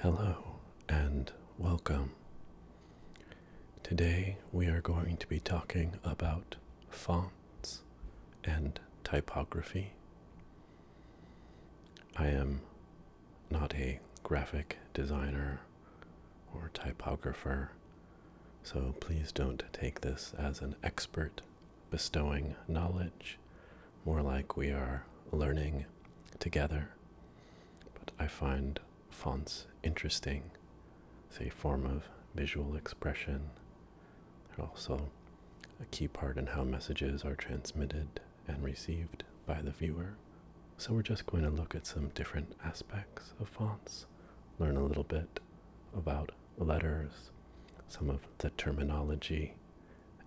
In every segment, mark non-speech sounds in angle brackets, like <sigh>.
Hello and welcome. Today we are going to be talking about fonts and typography. I am not a graphic designer or typographer, so please don't take this as an expert bestowing knowledge more like we are learning together. But I find fonts interesting. It's a form of visual expression. They're also a key part in how messages are transmitted and received by the viewer. So we're just going to look at some different aspects of fonts, learn a little bit about letters, some of the terminology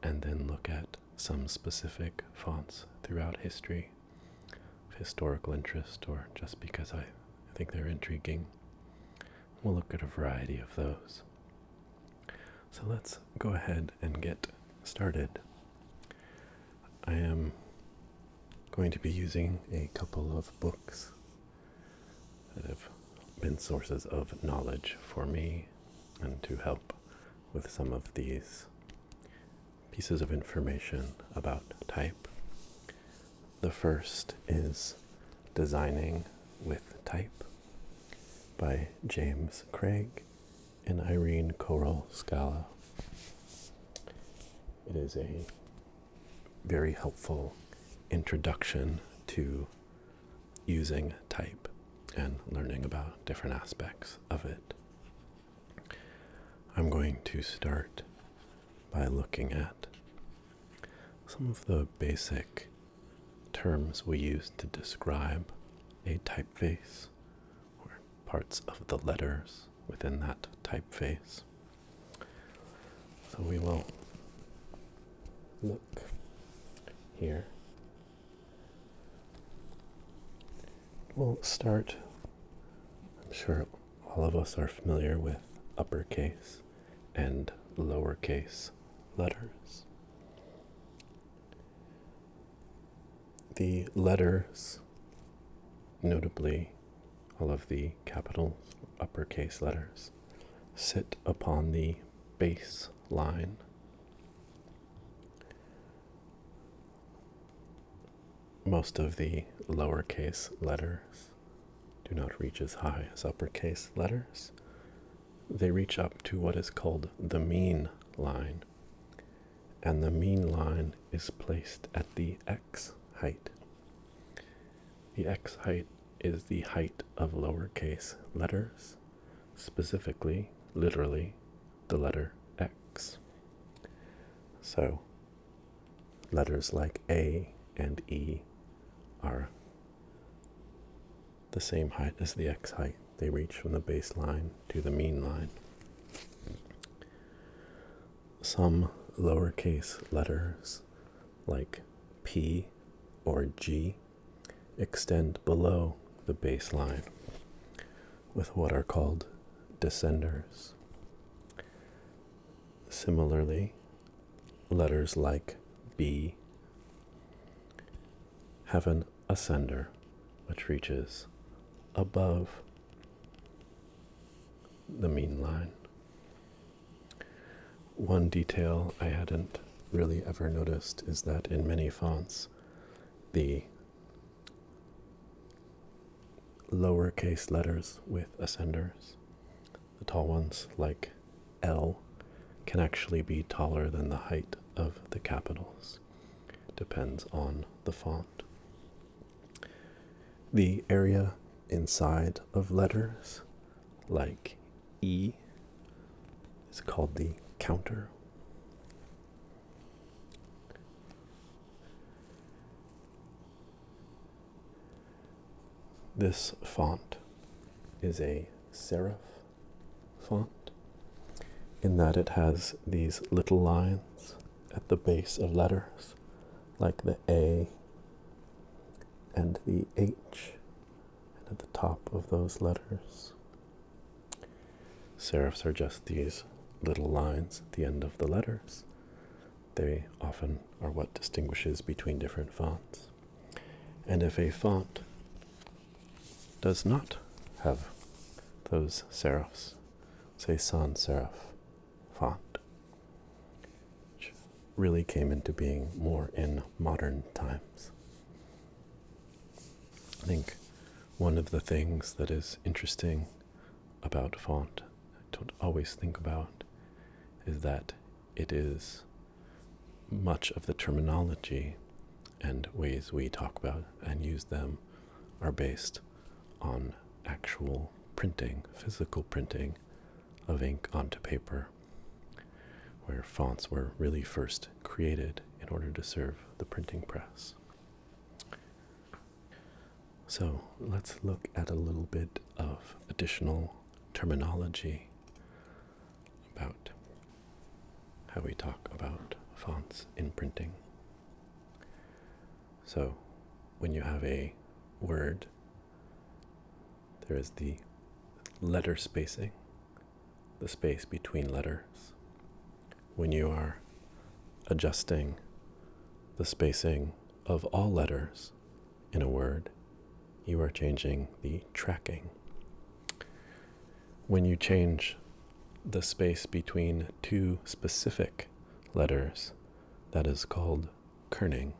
and then look at some specific fonts throughout history of historical interest or just because I think they're intriguing. We'll look at a variety of those. So let's go ahead and get started. I am going to be using a couple of books that have been sources of knowledge for me and to help with some of these pieces of information about type. The first is Designing with Type by James Craig and Irene Coral Scala. It is a very helpful introduction to using type and learning about different aspects of it. I'm going to start by looking at some of the basic terms we use to describe a typeface or parts of the letters within that typeface. So we will look here We'll start. I'm sure all of us are familiar with uppercase and lowercase letters. The letters, notably all of the capital uppercase letters, sit upon the base line. Most of the lowercase letters do not reach as high as uppercase letters. They reach up to what is called the mean line, and the mean line is placed at the x height. The x height is the height of lowercase letters specifically, literally, the letter x. So, letters like a and e are the same height as the x height. They reach from the baseline to the mean line. Some lowercase letters like p or g extend below the baseline with what are called descenders. Similarly, letters like B have an ascender which reaches above the mean line. One detail I hadn't really ever noticed is that in many fonts, the lowercase letters with ascenders, the tall ones like L, can actually be taller than the height of the capitals. depends on the font. The area inside of letters, like E is called the counter. This font is a serif font in that it has these little lines at the base of letters like the A and the H and at the top of those letters. Serifs are just these little lines at the end of the letters. They often are what distinguishes between different fonts. And if a font does not have those serifs, say sans serif font, which really came into being more in modern times. I think one of the things that is interesting about font, I don't always think about, is that it is much of the terminology and ways we talk about and use them are based on actual printing, physical printing of ink onto paper where fonts were really first created in order to serve the printing press. So let's look at a little bit of additional terminology about how we talk about fonts in printing. So when you have a word, there is the letter spacing, the space between letters when you are adjusting the spacing of all letters in a word you are changing the tracking when you change the space between two specific letters that is called kerning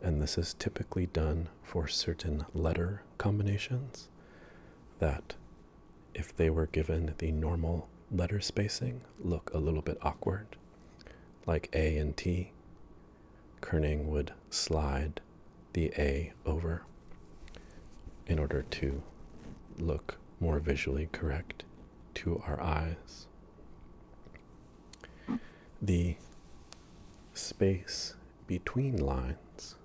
and this is typically done for certain letter combinations that, if they were given the normal letter spacing, look a little bit awkward. Like A and T, kerning would slide the A over in order to look more visually correct to our eyes. The space between lines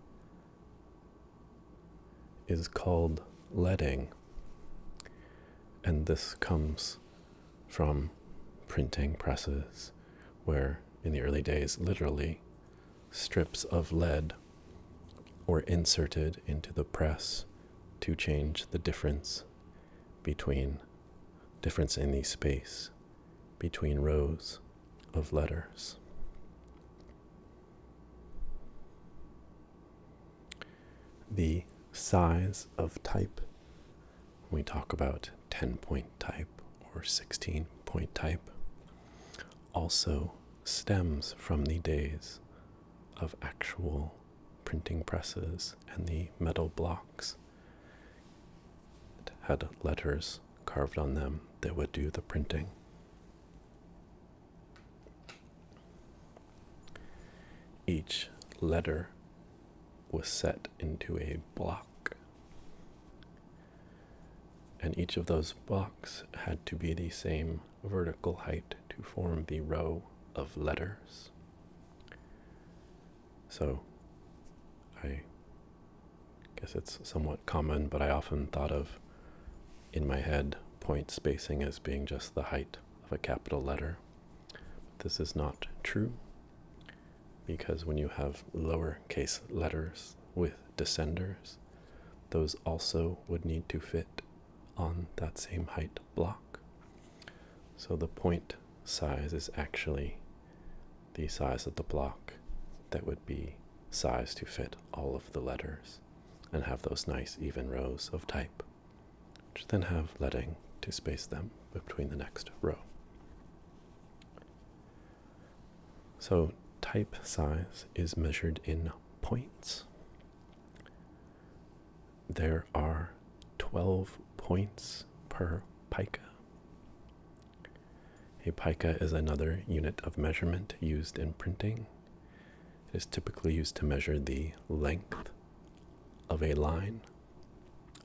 is called leading, and this comes from printing presses where, in the early days, literally strips of lead were inserted into the press to change the difference between difference in the space between rows of letters. The size of type, we talk about 10 point type or 16 point type, also stems from the days of actual printing presses and the metal blocks had letters carved on them that would do the printing. Each letter was set into a block, and each of those blocks had to be the same vertical height to form the row of letters. So I guess it's somewhat common, but I often thought of in my head point spacing as being just the height of a capital letter. This is not true because when you have lowercase letters with descenders, those also would need to fit on that same height block. So the point size is actually the size of the block that would be size to fit all of the letters and have those nice even rows of type, which then have letting to space them between the next row. So type size is measured in points. There are 12 points per pica. A pica is another unit of measurement used in printing. It is typically used to measure the length of a line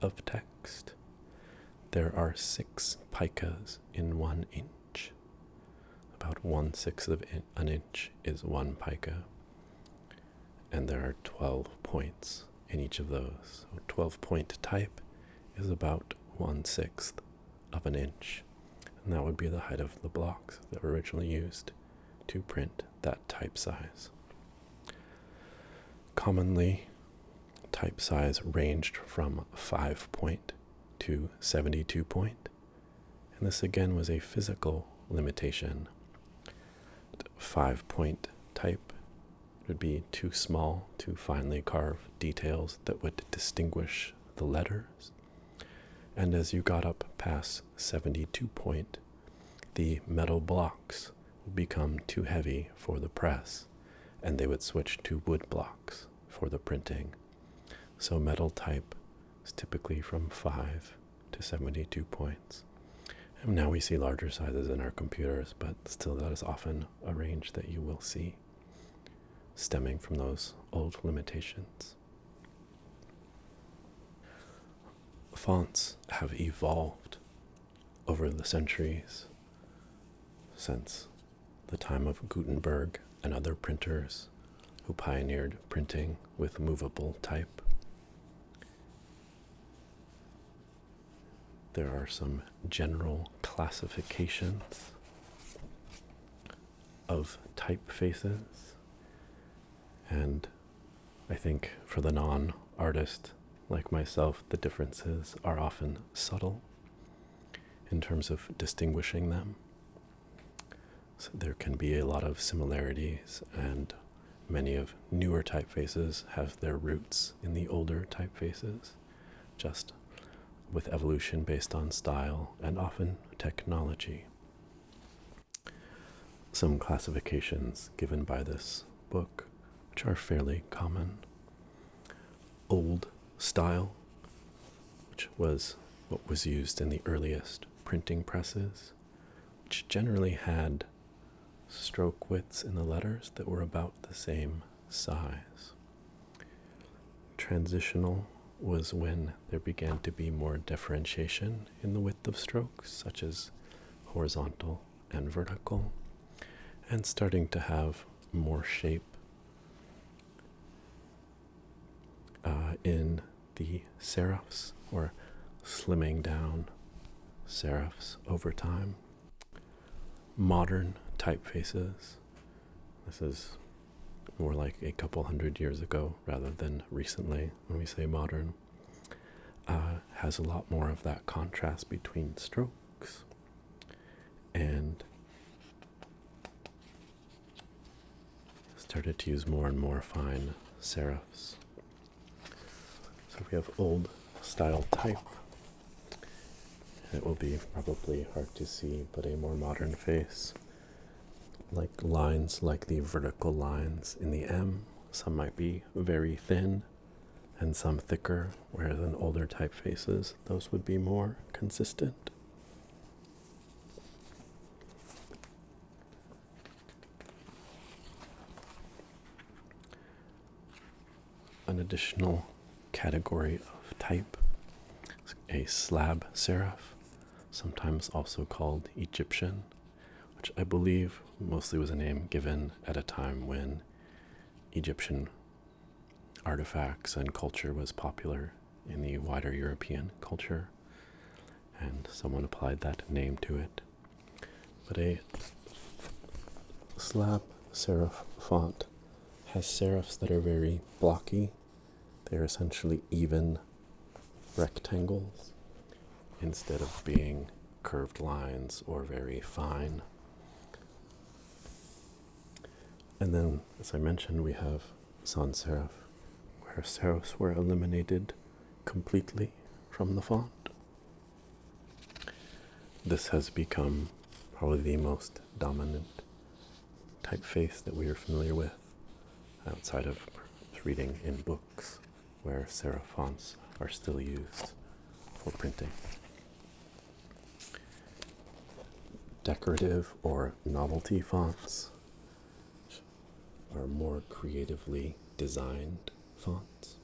of text. There are six picas in one inch. About one sixth of an inch is one pica. And there are 12 points in each of those. So 12 point type is about one sixth of an inch, and that would be the height of the blocks that were originally used to print that type size. Commonly, type size ranged from 5 point to 72 point, and this again was a physical limitation. 5 point type it would be too small to finely carve details that would distinguish the letters. And as you got up past 72 point, the metal blocks would become too heavy for the press, and they would switch to wood blocks for the printing. So metal type is typically from 5 to 72 points. And now we see larger sizes in our computers, but still that is often a range that you will see stemming from those old limitations. Fonts have evolved over the centuries since the time of Gutenberg and other printers who pioneered printing with movable type. There are some general classifications of typefaces, and I think for the non artist like myself, the differences are often subtle in terms of distinguishing them. there can be a lot of similarities, and many of newer typefaces have their roots in the older typefaces just with evolution based on style and often technology. Some classifications given by this book, which are fairly common. Old style, which was what was used in the earliest printing presses, which generally had stroke widths in the letters that were about the same size. Transitional was when there began to be more differentiation in the width of strokes, such as horizontal and vertical, and starting to have more shape uh, in the serifs or slimming down serifs over time modern typefaces. This is more like a couple hundred years ago rather than recently when we say modern. Uh, has a lot more of that contrast between strokes and started to use more and more fine serifs. So we have old style type it will be probably hard to see, but a more modern face. Like lines like the vertical lines in the M, some might be very thin and some thicker, whereas in older typefaces, those would be more consistent an additional category of type, a slab serif, sometimes also called Egyptian, which I believe mostly was a name given at a time when Egyptian artifacts and culture was popular in the wider European culture, and someone applied that name to it. But a slab serif font has serifs that are very blocky. They're essentially even rectangles instead of being curved lines or very fine. And then, as I mentioned, we have sans serif, where serifs were eliminated completely from the font. This has become probably the most dominant typeface that we are familiar with outside of reading in books where serif fonts are still used for printing. Decorative or novelty fonts are more creatively designed fonts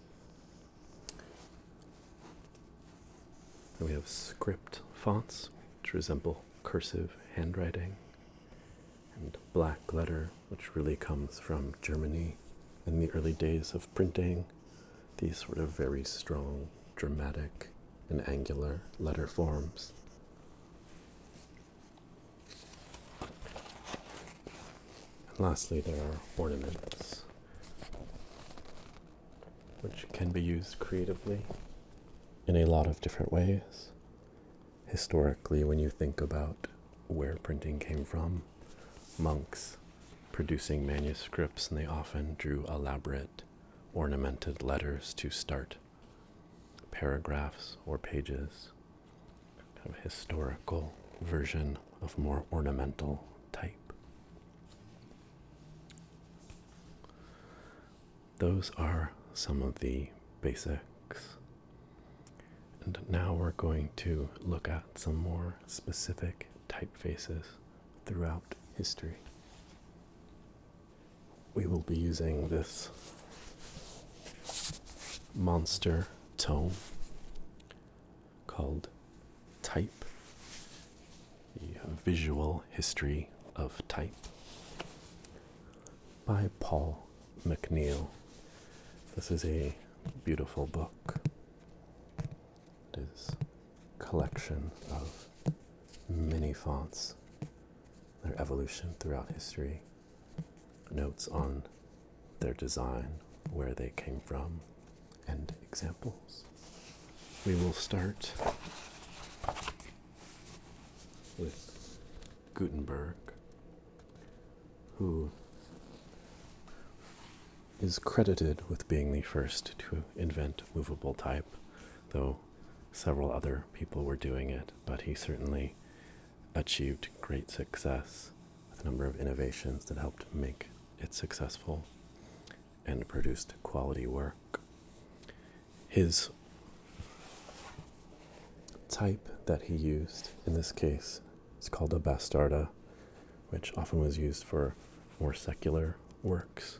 we have script fonts which resemble cursive handwriting and black letter which really comes from Germany in the early days of printing these sort of very strong dramatic and angular letter forms. And lastly, there are ornaments which can be used creatively in a lot of different ways. Historically, when you think about where printing came from, monks producing manuscripts, and they often drew elaborate ornamented letters to start paragraphs or pages. Kind of historical version of more ornamental type. Those are some of the basics. And now we're going to look at some more specific typefaces throughout history. We will be using this monster tone called Type, The Visual History of Type, by Paul McNeil. This is a beautiful book. It is collection of many fonts, their evolution throughout history, notes on their design, where they came from, and examples. We will start with Gutenberg, who is credited with being the first to invent movable type, though several other people were doing it, but he certainly achieved great success with a number of innovations that helped make it successful and produced quality work. His type that he used in this case is called a bastarda, which often was used for more secular works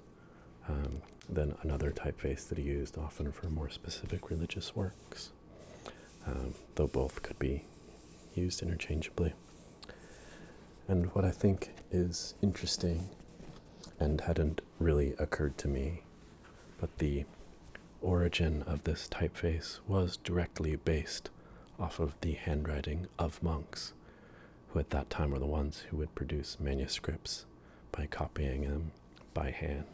um, than another typeface that he used often for more specific religious works, um, though both could be used interchangeably and what I think is interesting and hadn't really occurred to me, but the origin of this typeface was directly based off of the handwriting of monks, who at that time were the ones who would produce manuscripts by copying them by hand.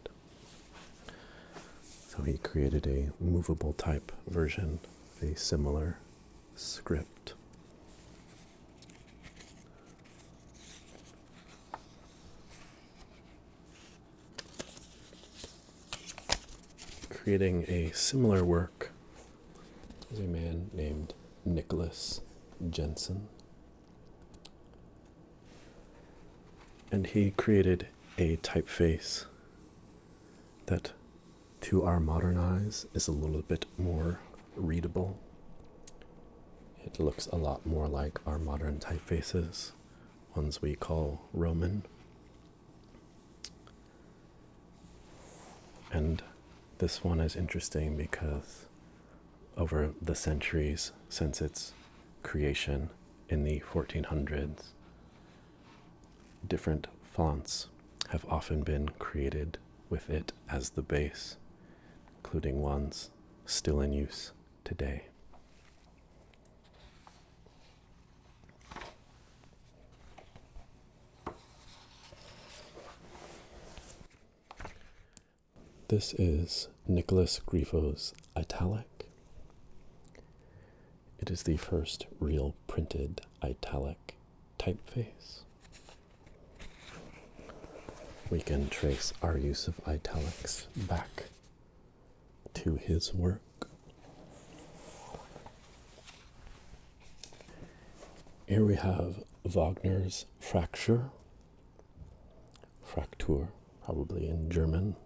So he created a movable type version, a similar script. Creating a similar work was a man named Nicholas Jensen. And he created a typeface that to our modern eyes is a little bit more readable. It looks a lot more like our modern typefaces, ones we call Roman. And this one is interesting because over the centuries since its creation in the 1400s, different fonts have often been created with it as the base, including ones still in use today. This is Nicholas Griffo's italic. It is the first real printed italic typeface. We can trace our use of italics back to his work. Here we have Wagner's Fracture, Fracture, probably in German.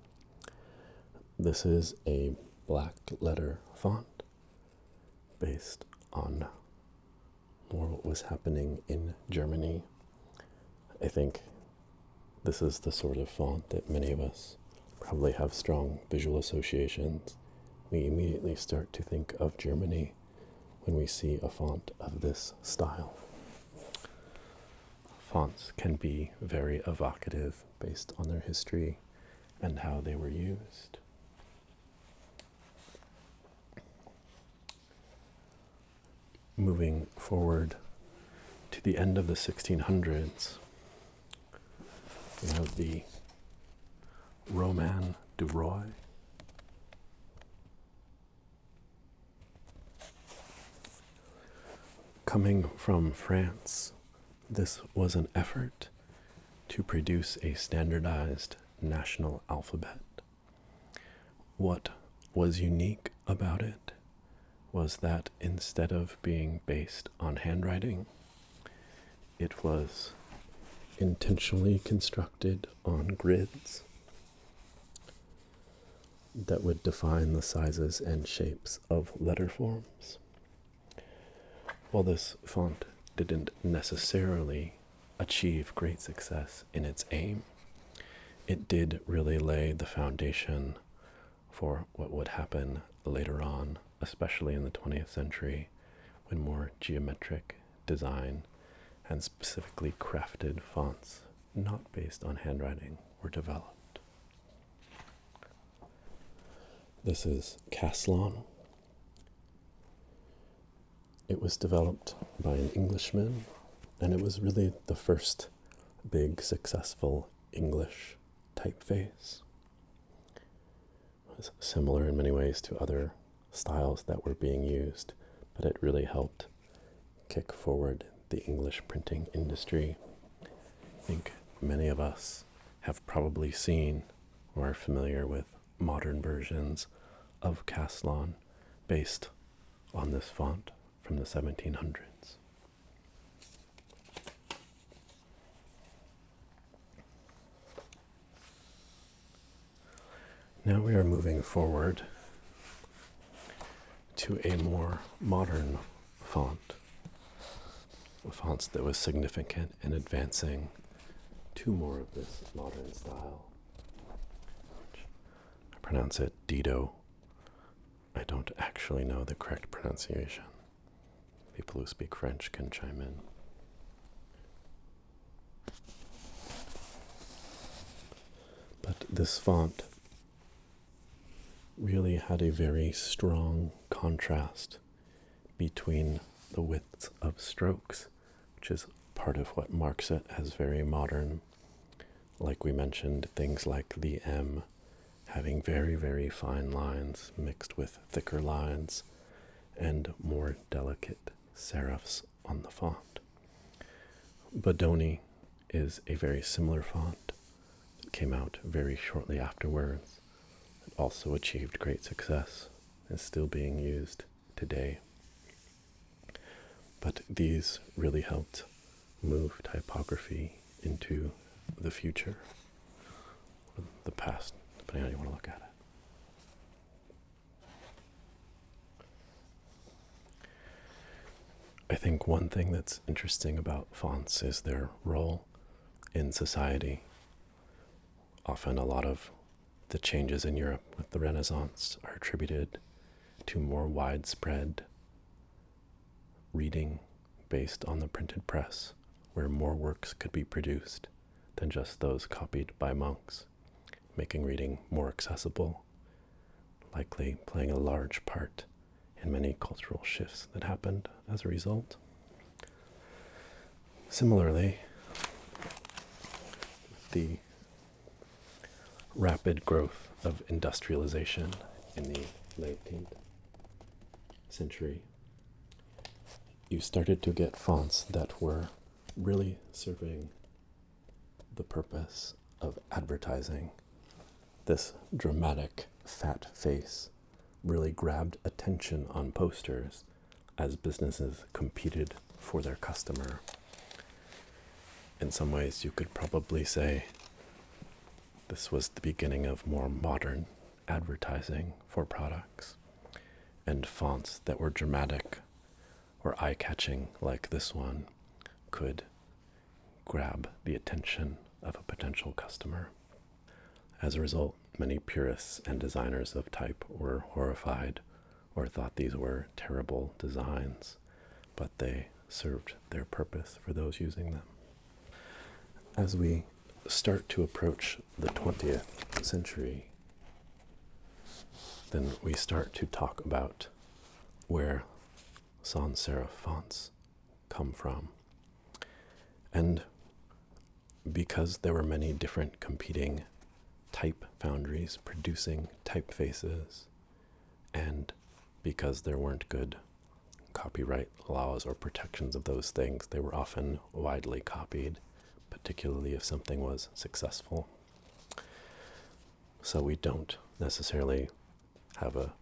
This is a black letter font based on what was happening in Germany. I think this is the sort of font that many of us probably have strong visual associations. We immediately start to think of Germany when we see a font of this style. Fonts can be very evocative based on their history and how they were used moving forward to the end of the 1600s, we have the Roman de Roy. Coming from France, this was an effort to produce a standardized national alphabet. What was unique about it was that instead of being based on handwriting, it was intentionally constructed on grids that would define the sizes and shapes of letter forms. While this font didn't necessarily achieve great success in its aim, it did really lay the foundation for what would happen later on, especially in the 20th century, when more geometric design and specifically crafted fonts not based on handwriting were developed. This is Caslon it was developed by an Englishman, and it was really the first big successful English typeface. was similar in many ways to other styles that were being used, but it really helped kick forward the English printing industry. I think many of us have probably seen or are familiar with modern versions of Caslon based on this font from the 1700s. Now we are moving forward to a more modern font a font that was significant in advancing to more of this modern style. I pronounce it Dido. I don't actually know the correct pronunciation. People who speak French can chime in. But this font really had a very strong contrast between the widths of strokes, which is part of what marks it as very modern. Like we mentioned, things like the M having very, very fine lines mixed with thicker lines and more delicate serifs on the font. Bodoni is a very similar font came out very shortly afterwards Science also achieved great success, and still being used today. But these really helped move typography into the future, or the past, depending on how you want to look at it. I think one thing that's interesting about fonts is their role in society often a lot of the changes in Europe with the Renaissance are attributed to more widespread reading based on the printed press, where more works could be produced than just those copied by monks, making reading more accessible, likely playing a large part in many cultural shifts that happened as a result. Similarly, the rapid growth of industrialization in the 19th century, you started to get fonts that were really serving the purpose of advertising this dramatic fat face really grabbed attention on posters as businesses competed for their customer. In some ways, you could probably say this was the beginning of more modern advertising for products and fonts that were dramatic or eye catching, like this one, could grab the attention of a potential customer. As a result, many purists and designers of type were horrified or thought these were terrible designs, but they served their purpose for those using them. As we start to approach the 20th century, then we start to talk about where sans serif fonts come from. And because there were many different competing type foundries producing typefaces, and because there weren't good copyright laws or protections of those things, they were often widely copied, particularly if something was successful. So we don't necessarily have a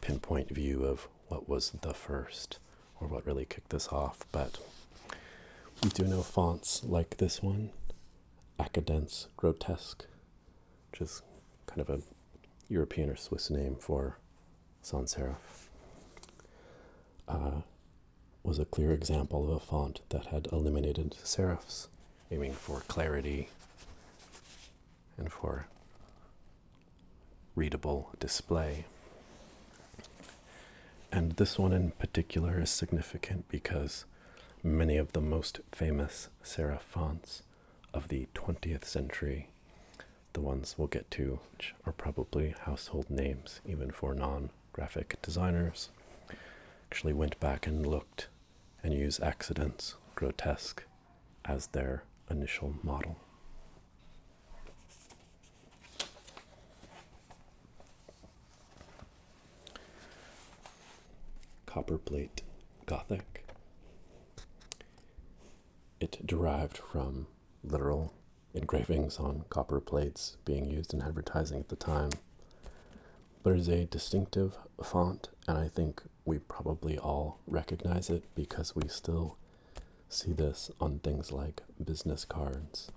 pinpoint view of what was the first or what really this off, but we do know fonts like this one, Acadence Grotesque, which is kind of a European or Swiss name for sans serif, uh, was a clear example of a font that had eliminated serifs, aiming for clarity and for readable display. And this one in particular is significant because many of the most famous serif fonts of the 20th century, the ones we'll get to, which are probably household names even for non graphic designers, actually went back and looked and used accidents, grotesque, as their initial model. Copperplate Gothic. It derived from literal engravings on copper plates being used in advertising at the time. But There's a distinctive font, and I think we probably all recognize it because we still see this on things like business cards.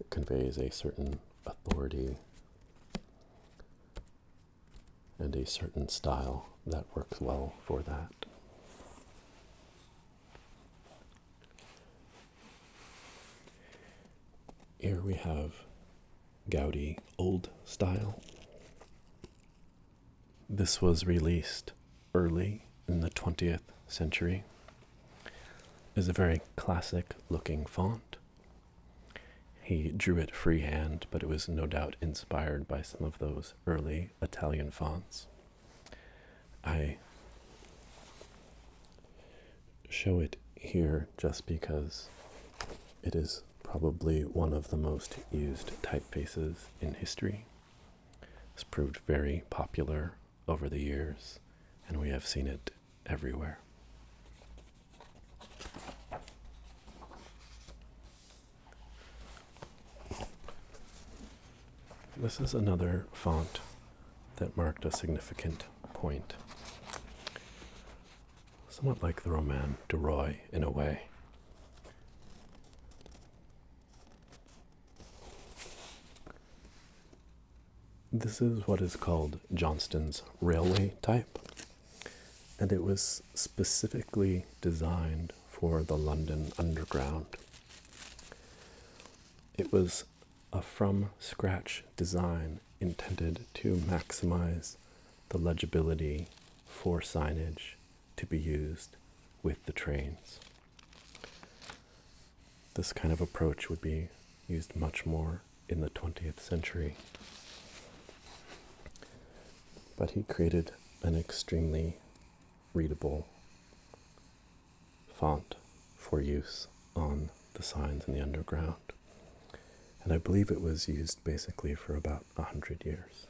It conveys a certain authority and a certain style that works well for that. Here we have Gaudi Old Style. This was released early in the 20th century is a very classic looking font. He drew it freehand, but it was no doubt inspired by some of those early Italian fonts. I show it here just because it is probably one of the most used typefaces in history. It's proved very popular over the years, and we have seen it everywhere. This is another font that marked a significant point. Somewhat like the Roman de Roy in a way. This is what is called Johnston's railway type, and it was specifically designed for the London Underground. It was a from scratch design intended to maximize the legibility for signage to be used with the trains. This kind of approach would be used much more in the 20th century. But he created an extremely readable font for use on the signs in the underground. And I believe it was used basically for about a hundred years.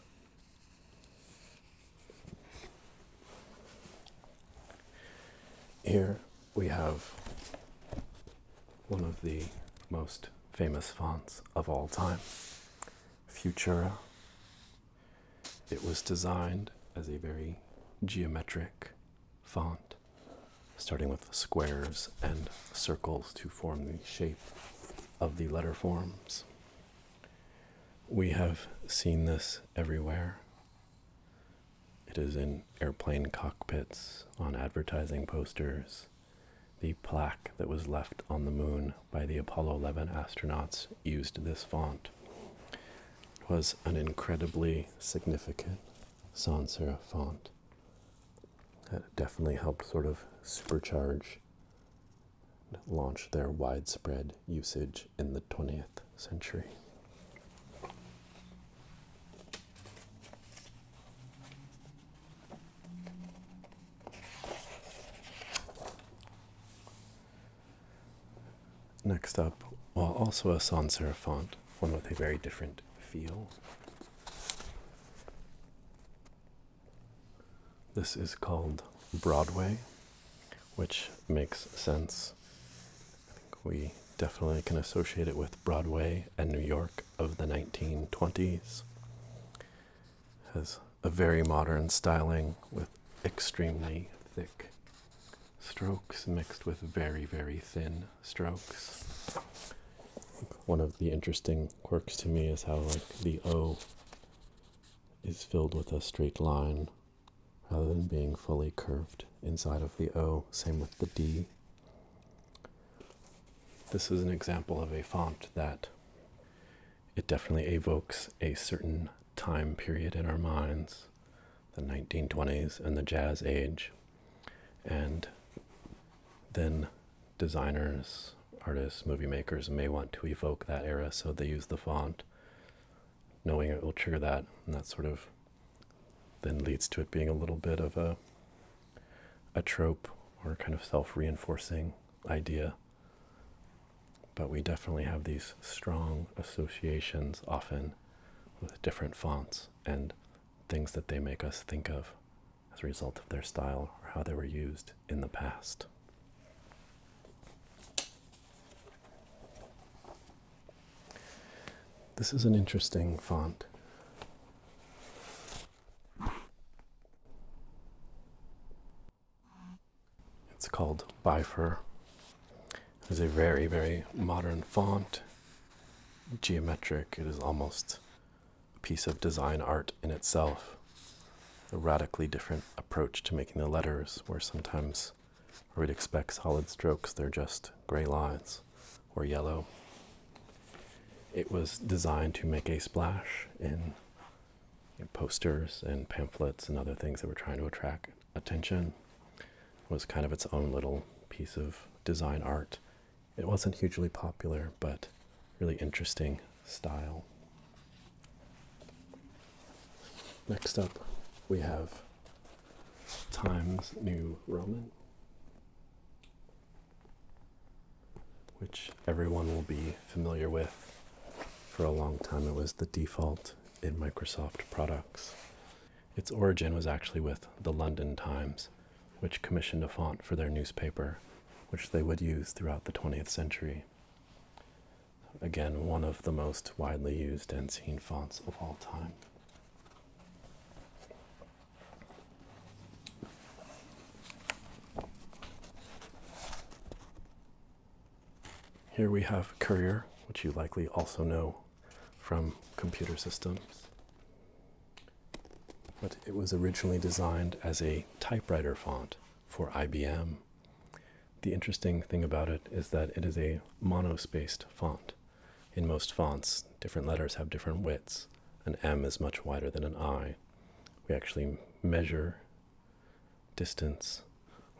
Here we have one of the most famous fonts of all time, Futura. It was designed as a very geometric font, starting with squares and circles to form the shape of the letter forms. We have seen this everywhere it is in airplane cockpits, on advertising posters. The plaque that was left on the moon by the Apollo 11 astronauts used this font. It was an incredibly significant sans serif font that definitely helped sort of supercharge, launch their widespread usage in the 20th century. Next up, while also a sans serif font, one with a very different feel. This is called Broadway which makes sense. I think we definitely can associate it with Broadway and New York of the 1920s. Has a very modern styling with extremely thick strokes mixed with very, very thin strokes. One of the interesting quirks to me is how, like, the O is filled with a straight line rather than being fully curved inside of the O. Same with the D. This is an example of a font that it definitely evokes a certain time period in our minds the 1920s and the jazz age. And then designers, artists, movie makers may want to evoke that era, so they use the font knowing it will trigger that, and that sort of then leads to it being a little bit of a a trope or kind of self-reinforcing idea. But we definitely have these strong associations often with different fonts and things that they make us think of as a result of their style or how they were used in the past. This is an interesting font. It's called Bifur. It's a very, very modern font. Geometric, it is almost a piece of design art in itself. A radically different approach to making the letters, where sometimes or it expects solid strokes. They're just gray lines or yellow. It was designed to make a splash in posters and pamphlets and other things that were trying to attract attention. was kind of its own little piece of design art. It wasn't hugely popular, but really interesting style. Next up, we have Times New Roman, which everyone will be familiar with. For a long time, it was the default in Microsoft products. Its origin was actually with the London Times, which commissioned a font for their newspaper, which they would use throughout the 20th century. Again, one of the most widely used and seen fonts of all time. Here we have Courier, which you likely also know from computer systems. But it was originally designed as a typewriter font for IBM the interesting thing about it is that it is a monospaced font. In most fonts, different letters have different widths. An M is much wider than an I. We actually measure distance,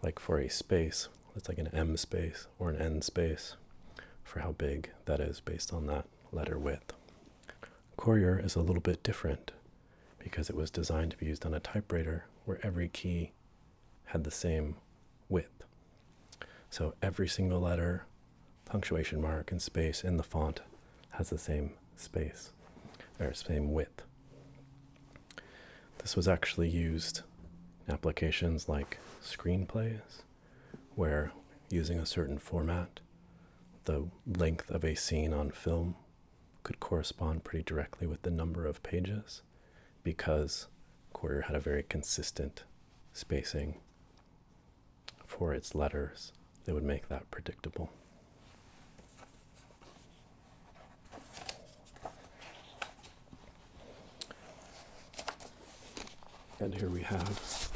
like for a space, it's like an M space or an N space, for how big that is based on that letter width. Courier is a little bit different because it was designed to be used on a typewriter where every key had the same width. So every single letter, punctuation mark, and space in the font has the same space or same width. This was actually used in applications like screenplays, where using a certain format, the length of a scene on film could correspond pretty directly with the number of pages because Courier had a very consistent spacing for its letters that would make that predictable. And here we have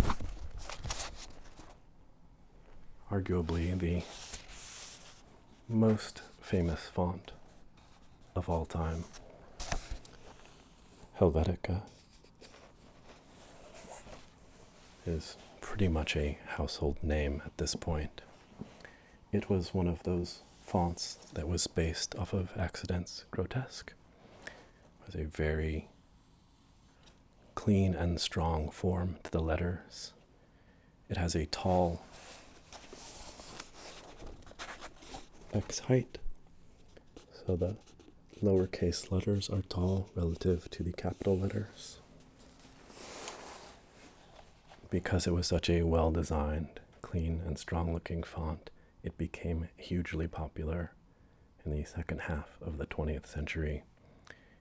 arguably the most famous font of all time Helvetica is pretty much a household name at this point. It was one of those fonts that was based off of Accidents Grotesque. It was a very clean and strong form to the letters. It has a tall X height, so the lowercase letters are tall relative to the capital letters. Because it was such a well designed, clean, and strong looking font, it became hugely popular in the second half of the 20th century,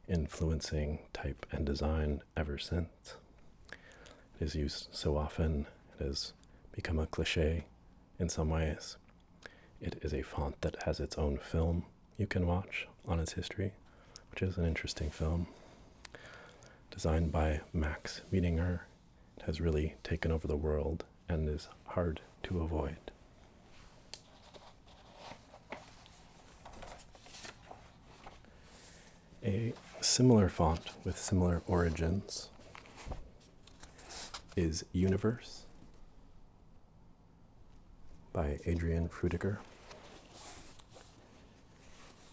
influencing type and design ever since. It is used so often, it has become a cliche in some ways. It is a font that has its own film you can watch on its history, which is an interesting film. Designed by Max Wiedinger, it has really taken over the world and is hard to avoid. A similar font with similar origins is Universe by Adrian Frudiger.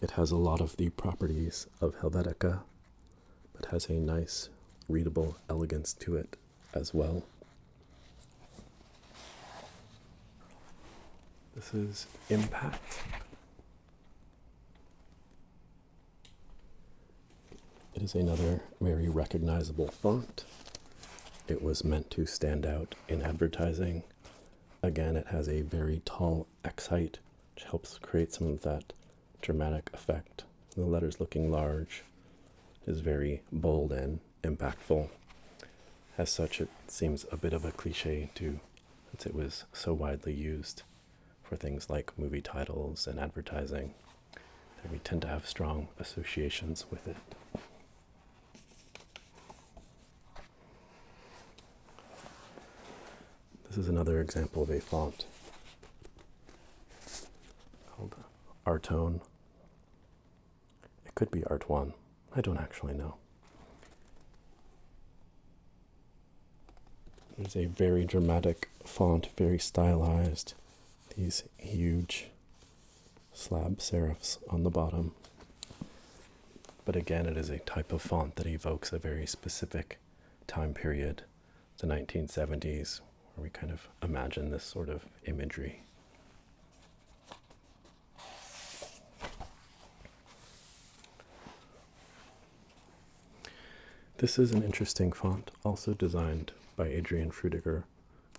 It has a lot of the properties of Helvetica, but has a nice, readable elegance to it as well. This is Impact it is another very recognizable font. It was meant to stand out in advertising. Again, it has a very tall X height, which helps create some of that dramatic effect. The letters looking large is very bold and impactful. As such, it seems a bit of a cliche to since it was so widely used for things like movie titles and advertising that we tend to have strong associations with it. This is another example of a font called Artone. It could be Art One. I don't actually know. There's a very dramatic font, very stylized. These huge slab serifs on the bottom. But again, it is a type of font that evokes a very specific time period, the 1970s, where we kind of imagine this sort of imagery. This is an interesting font, also designed by Adrian Frudiger,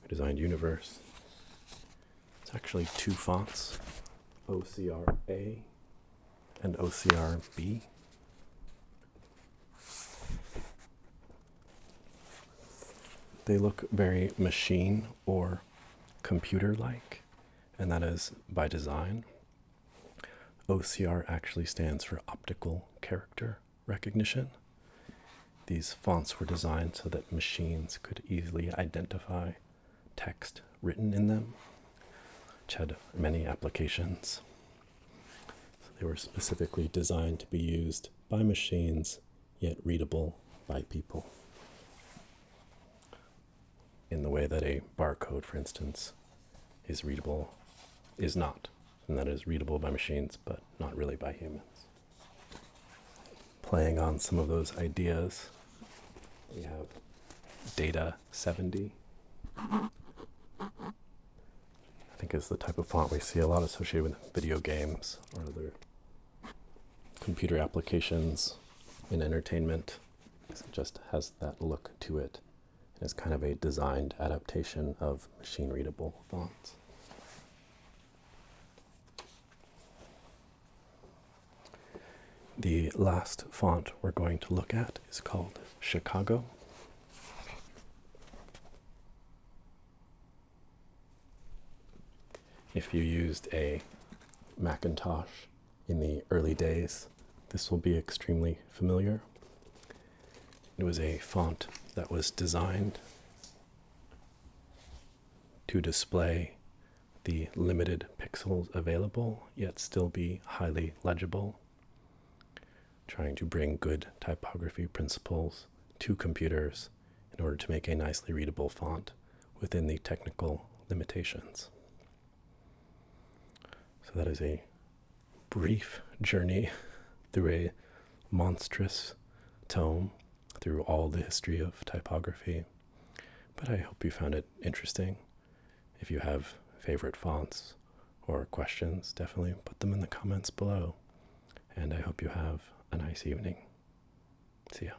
who designed Universe. It's actually two fonts, OCR A and OCR B. They look very machine or computer like, and that is by design. OCR actually stands for optical character recognition. These fonts were designed so that machines could easily identify text written in them, which had many applications. they were specifically designed to be used by machines, yet readable by people in the way that a barcode, for instance, is readable, is not, and that is readable by machines, but not really by humans. Playing on some of those ideas, we have Data 70. I think is the type of font we see a lot associated with video games or other computer applications in entertainment it just has that look to it. And it's kind of a designed adaptation of machine readable fonts. The last font we're going to look at is called Chicago. If you used a Macintosh in the early days, this will be extremely familiar. It was a font that was designed to display the limited pixels available, yet still be highly legible, trying to bring good typography principles to computers in order to make a nicely readable font within the technical limitations. So that is a brief journey <laughs> through a monstrous tome, through all the history of typography. But I hope you found it interesting. If you have favorite fonts or questions, definitely put them in the comments below. And I hope you have a nice evening. See ya.